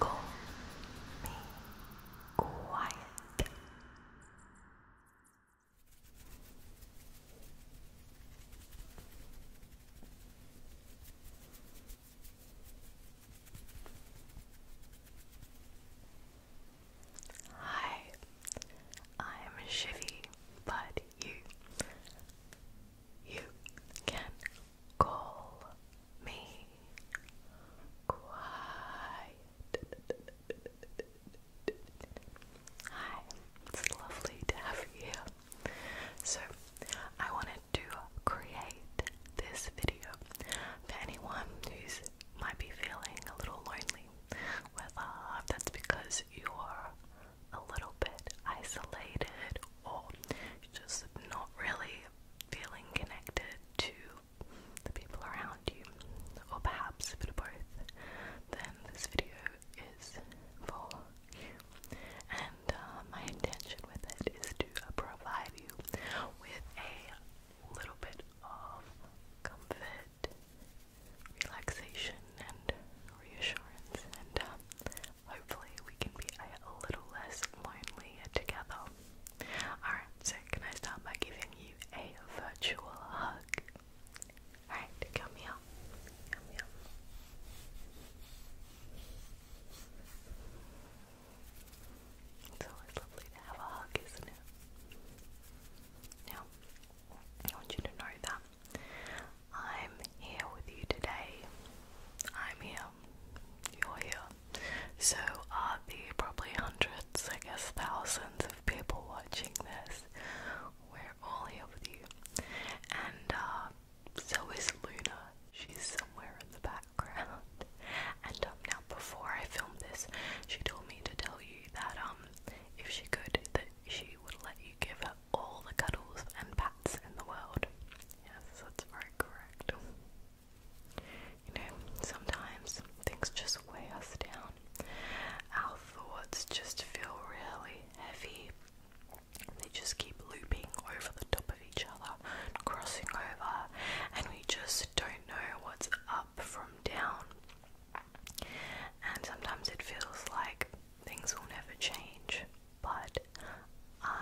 Go be quiet. Hi, I'm Shivy, but you you can call me quiet. Hi, it's lovely to have you So, I wanted to create this video for anyone who's might be feeling a little lonely, whether that's because you're a little bit isolated or just not really feeling connected to the people around you, or perhaps a bit of both, then this video is for you. And uh, my intention with it is to provide you with a little bit of comfort, relaxation, and reassurance, and um, Hopefully, we can be a little less lonely together. Alright, so can I start by giving you a virtual hug? Alright, come here. Come here. It's always lovely to have a hug, isn't it? Now, I want you to know that I'm here with you today. I'm here. You're here. So are the probably hundreds, I guess thousands of people watching this. We're all here with you. And uh, so is Luna. She's somewhere in the background. And um, now, before I filmed this, she told me to tell you that um, if she could, that she would let you give up all the cuddles and pats in the world. Yes, that's very correct. You know, sometimes things just weigh us down. Our thoughts just feel really heavy. They just keep looping over the top of each other, crossing over, and we just don't know what's up from down. And sometimes it feels like things will never change, but I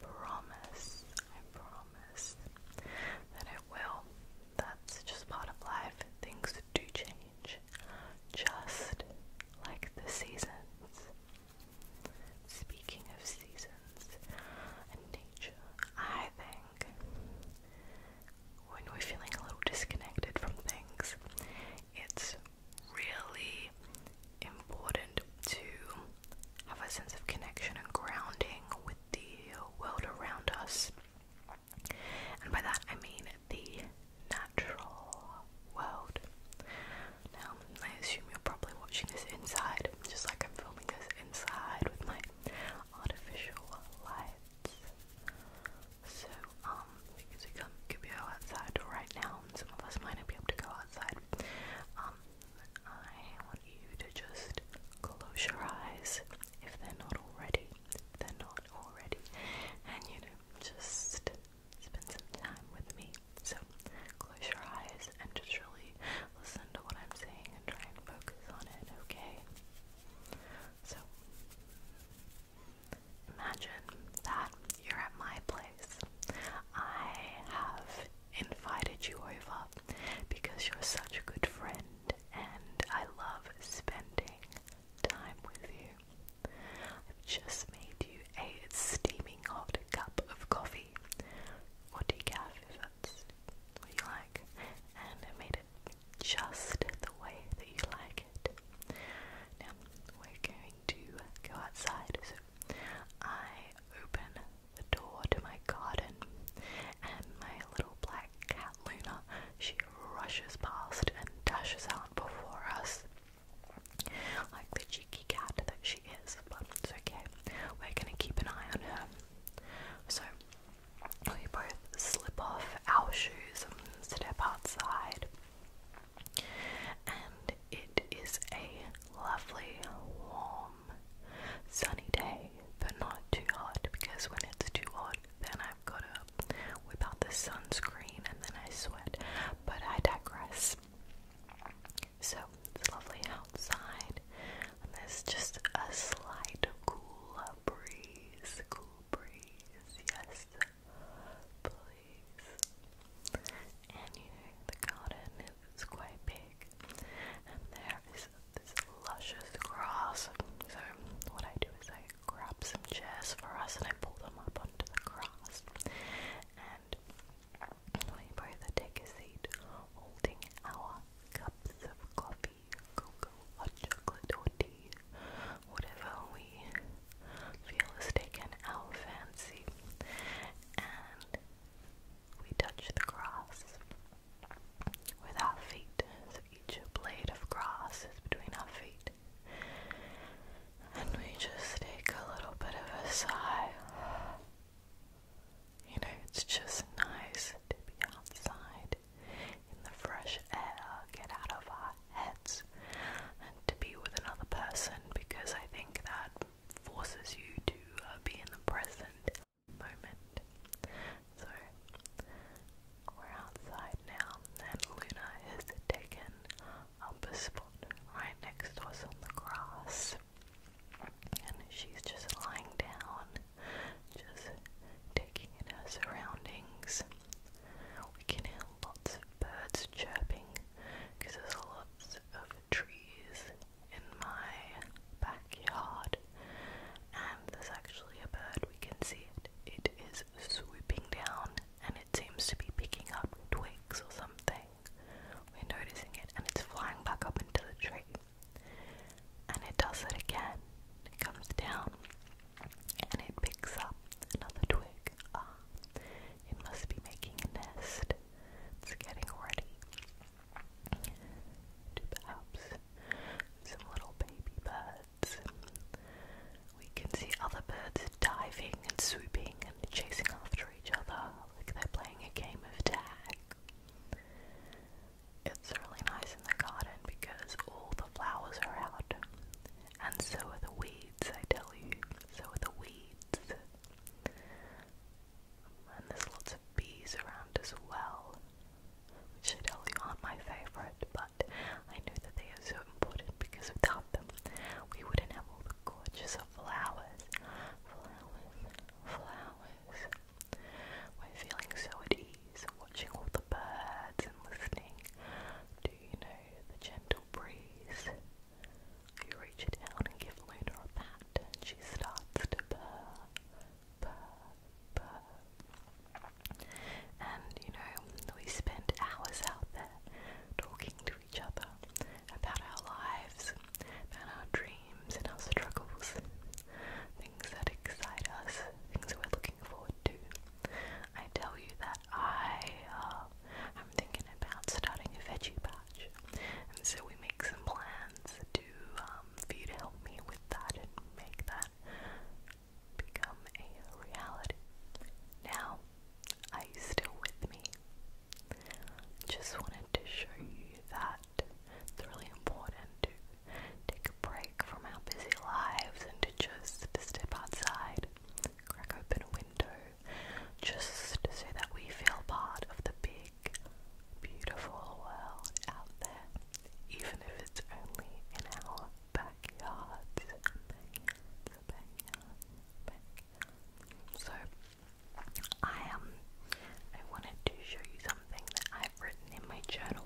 promise, I promise that it will. That's just part of life. Things do change, just like the seasons. Speaking of seasons and nature, I think when we're feeling a little disconnected from things, it's really important to have a sense of connection and grounding with the world around us. And by that I mean the natural world. Now, I assume you're probably watching this inside, just like I'm filming this inside with my artificial lights. So, um, because we can't, could outside right now, some of us might not be able to go outside. Um, I want you to just close your eyes if they're not already, they're not already, and you know, just spend some time with me. So, close your eyes and just really listen to what I'm saying and try and focus on it, okay? So, Imagine that you're at my place. I have invited you over because you're such a good friend and I love spending time with you. I've just made you a steaming hot cup of coffee or decaf if that's what you like and I made it just the way that you like now we're going to go outside. So I open the door to my garden, and my little black cat Luna she rushes past and dashes out before us, like the cheeky cat that she is. But it's okay. We're gonna keep an eye on her. So we both slip off our shoes and step outside. And it is a lovely, warm, sunny day, but not too hot because when it's too hot, then I've got to whip out the sunscreen and then I sweat. But I digress. So it's lovely outside, there's just a slight cool breeze, cool breeze, yes, please. And here the garden is quite big, and there is this luscious grass. So what I do is I grab some chairs for us and I pull them up onto the grass. And we both take a seat, holding our cups of coffee, cocoa, or chocolate, or tea, whatever we feel is taken our fancy and we touch the grass with our feet. So each blade of grass is between our feet. And we just take a little bit of a sigh. You know, it's just nice to be outside in the fresh air, get out of our heads, and to be with another person because I think that forces you to uh, be in the present moment. So, we're outside now, and Luna is taking up a spot right next to us on the grass, and she's just lying down, just taking in her surroundings. We can hear lots of birds chirping because there's a lot of trees in my backyard, and there's actually a bird. We can see it. It is swooping down, and it seems to be picking up twigs or something. We're noticing it, and it's flying back up into the tree. And it does it again. It comes down and it picks up another twig. Ah, it must be making a nest. It's getting ready to perhaps some little baby birds. We can see other birds diving and swooping and chasing after each other like they're playing a game of tag. It's really nice in the garden because all the flowers are out and so are the weeds, I tell you. So are the weeds. And there's lots of bees around as well, which I tell you aren't my favourite, but I know that they are so important because without them, we wouldn't have all the gorgeous flowers. Flowers, flowers. We're feeling so at ease watching all the birds and listening to, you know, the gentle breeze. You reach down and give Luna a pat and she starts to purr, purr, purr. And, you know, we spend hours out there talking to each other about our lives, about our dreams and our struggles that excite us, things that we're looking forward to. I tell you that I am uh, thinking about starting a veggie patch, and so we make some plans to um, for you to help me with that and make that become a reality. Now, are you still with me? Just wanted to show you that it's really important to take a break from our busy lives and to just step outside, crack open a window, just so that we feel part of the big, beautiful world out there, even if it's only in our backyards. So, I um, I wanted to show you something that I've written in my journal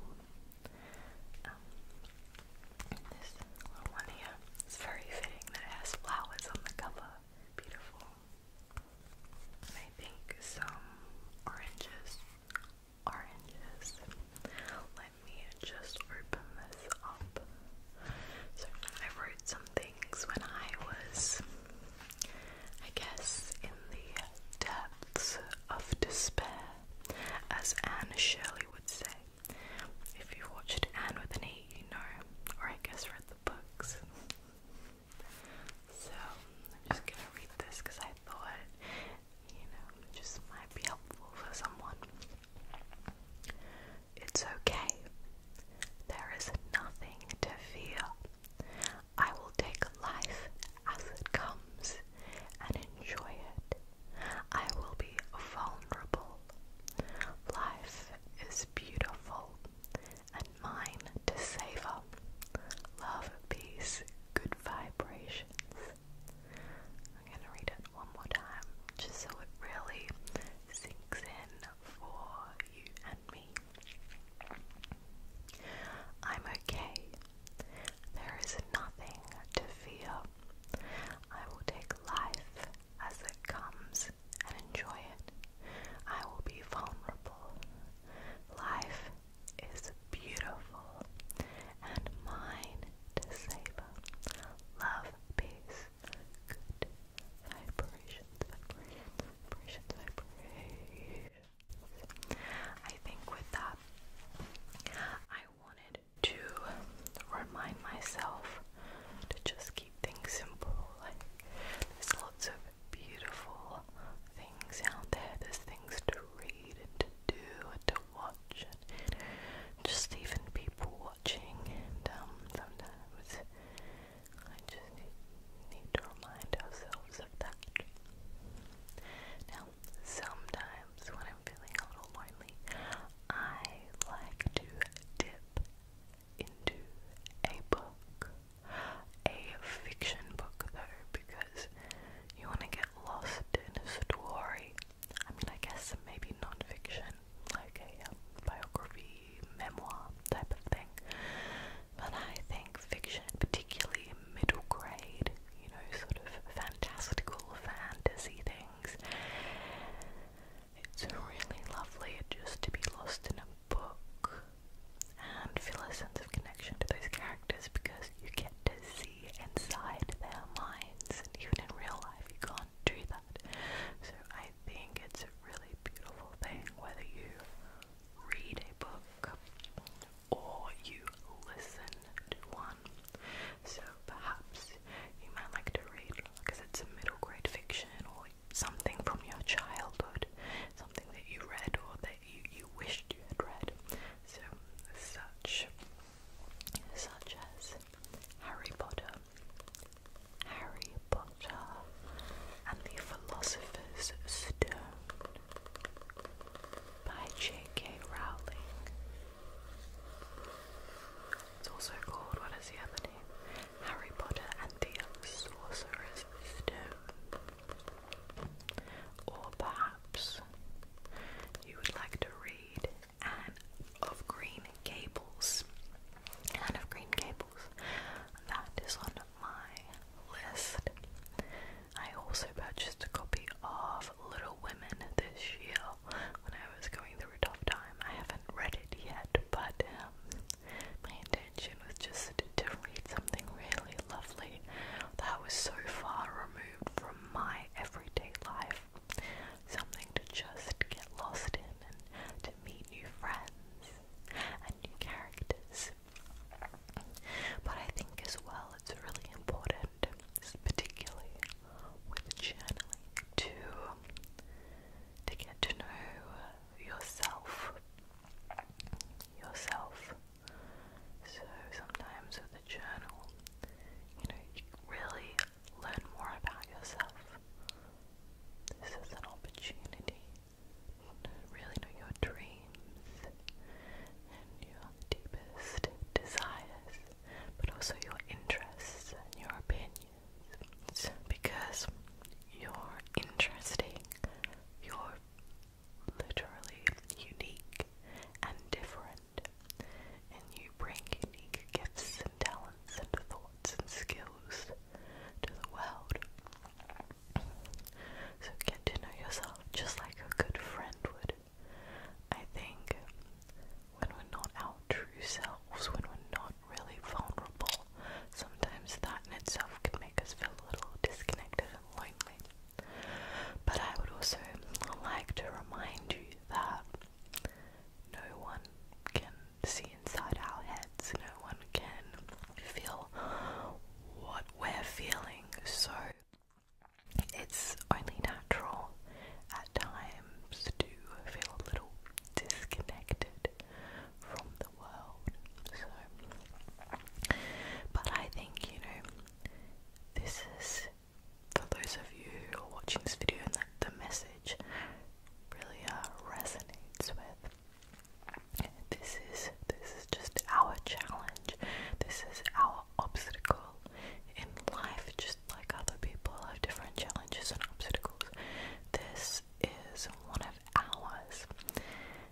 this little one here. very fitting that it has flowers on the cover. Beautiful. I think some oranges. Oranges. Let me just open this up. So I wrote some things when I was, I guess, in the depths of despair as Anne Shirley would say. If you've watched Anne with an E, you know, or I guess read the books. so I'm just gonna read this because I thought, you know, just might be helpful for someone. It's okay. There is nothing to fear. I will take life as it comes and enjoy it. I will be vulnerable. Life is beautiful and mine to savor. Love, peace, good vibrations. I'm going to read it one more time just so it really sinks in for you and me. I'm okay there is nothing to fear. I will take life as it comes and enjoy it. I will be vulnerable. Life is beautiful and mine to savor. Love, peace, good vibrations, vibrations, vibrations, vibrations. I think with that, I wanted to remind myself to just keep things simple. Like, there's lots of beautiful things out there, there's things to read and to do and to watch, just even people watching. And um, sometimes I just need to remind ourselves of that. Now, sometimes when I'm feeling a little lonely, I like to dip into a book. A fiction book, though, because you want to get lost in a story. I mean, I guess maybe non fiction, like a um, biography, memoir type of thing. But I think fiction, particularly middle grade, you know, sort of fantastical fantasy things. It's really lovely just to be lost in a book and feel a sense of connection to those characters because you get to see inside their minds, and even in real life, you can't do that. So, I think it's a really beautiful thing whether you read a book or you listen to one. So perhaps you might like to read, because it's a middle grade fiction or something from your childhood, something that you read or that you, you wished you had read. So such, such as Harry Potter, Harry Potter and the Philosopher's Stone, by J.K. Rowling. It's also called, what is the other name? Harry Potter and the Sorcerer's Stone. Or perhaps you would like to read Anne of Green Gables. Anne of Green Gables. That is on my list. I also purchased a copy of Little Women this year when I was going through a tough time. I haven't read it yet, but um, my intention was just to read something really lovely that was so far removed from my everyday life. Something to just get lost in and to meet new friends and new characters but I think as well it's really important, particularly with journaling, to to get to know yourself. Yourself. So sometimes with a journal, you know, you really learn more about yourself. This is an opportunity to really know your dreams your deepest desires, but also your interests and your opinions. Because you're interesting, you're literally unique and different, and you bring unique gifts and talents and thoughts and skills to the world. So get to know yourself just like a good friend would. I think when we're not our true selves, when we're not really vulnerable, sometimes that in itself can make us feel a little disconnected and lonely. But I would also like to remind you that no one can see inside our heads, no one can feel what we're feeling, so it's only natural at times to feel a little disconnected from the world. So, but I think, you know, this is for those of you who are watching this video and that the message really uh, resonates with. This is this is just our challenge. This is our obstacle in life, just like other people have different challenges and obstacles. This is one of ours.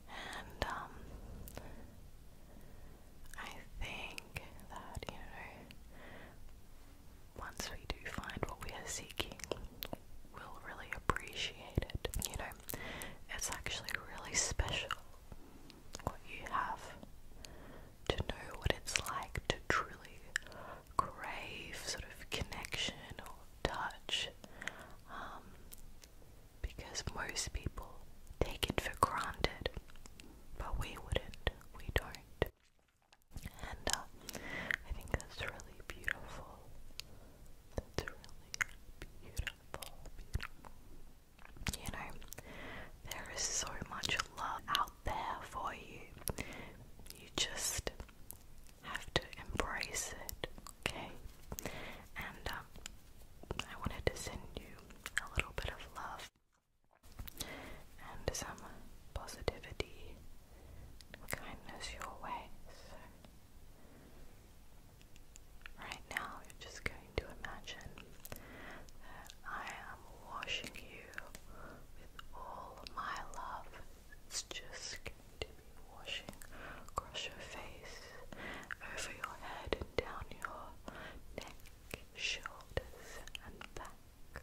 And um I think that, you know, once we do find what we are seeking, we'll really appreciate it. You know, it's actually really special what you have, to know what it's like to truly crave sort of connection or touch. Um, because most people take it for granted, but we wouldn't, we don't. And uh, I think that's really beautiful. That's really beautiful, You know, there is so much love out there for you. You just have to embrace it, okay? And um, I wanted to send you a little bit of love and some positivity kindness your way. Right now, you're just going to imagine that I am washing you with all my love. It's just going to be washing across your face, over your head, and down your neck, shoulders, and back.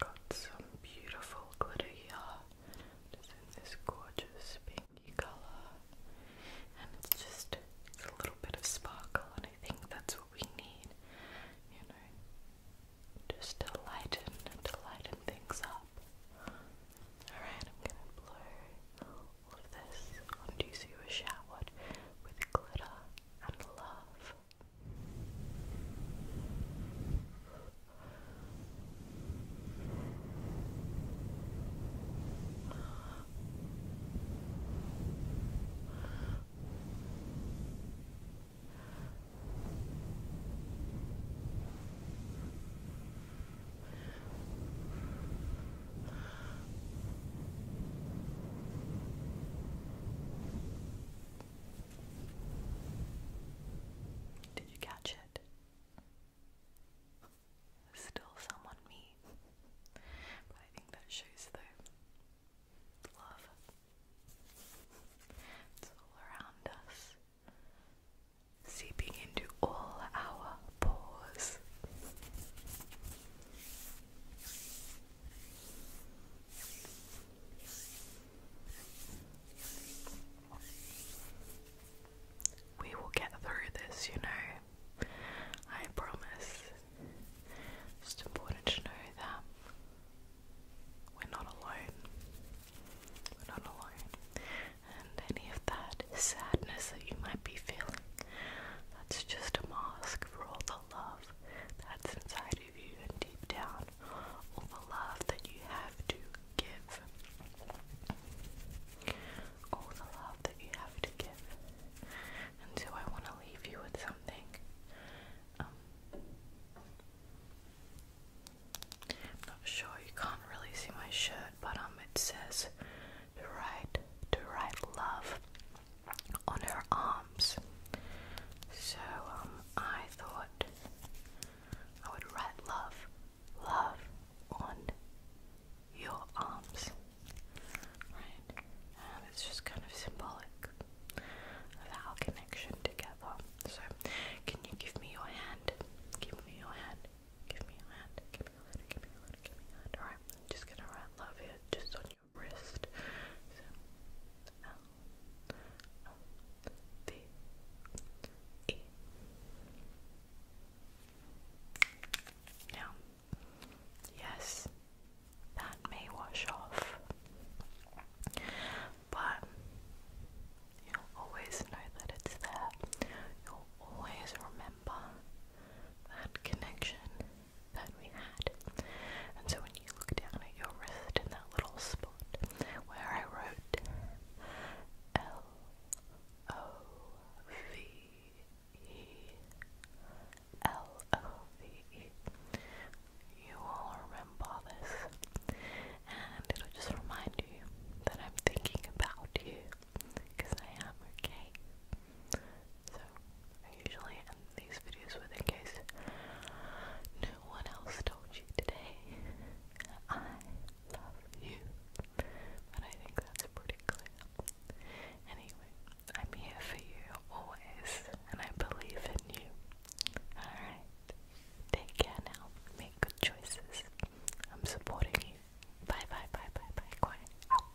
Got some beautiful glitter here. It's in this gorgeous pinky color, and it's just it's a little bit of sparkle, and I think that's what we need, you know, just to lighten, to lighten things up. Alright, I'm gonna blow all of this onto you so you with glitter and love. Did you catch it? Still someone me. But I think that shows the love. It's all around us, seeping into all our pores. We will get through this, you know. I promise. It's important to know that we're not alone. We're not alone. And any of that sadness that you might be feeling, that's just a mask for all the love that's inside of you and deep down, all the love that you have to give. All the love that you have to give and I want to leave you with something. Um, I'm not sure, you can't really see my shirt, but um, it says to write, to write love on her arms. So um, I thought I would write love, love on your arms. Right? And it's just kind of symbolic of our connection together. So, can you give me your hand? Give me your hand. Give me your hand. Give me your hand. Give me your hand. Give I'm just gonna write love here just on your wrist. So, L, L, V, E. Now, Yes, that may wash off, but you'll always know that it's there. You'll always remember that connection that we had. And so when you look down at your wrist in that little spot where I wrote L O V E L O V E. You will remember this, and it'll just remind you that I'm thinking about you because I am okay. So, I usually end these videos with in case no one else told you today. I love you, but I think that's pretty clear. Anyway, I'm here for you always, and I believe in you. Alright, take care now. Make good choices. I'm supporting you. Bye bye bye bye bye. Quiet. Out.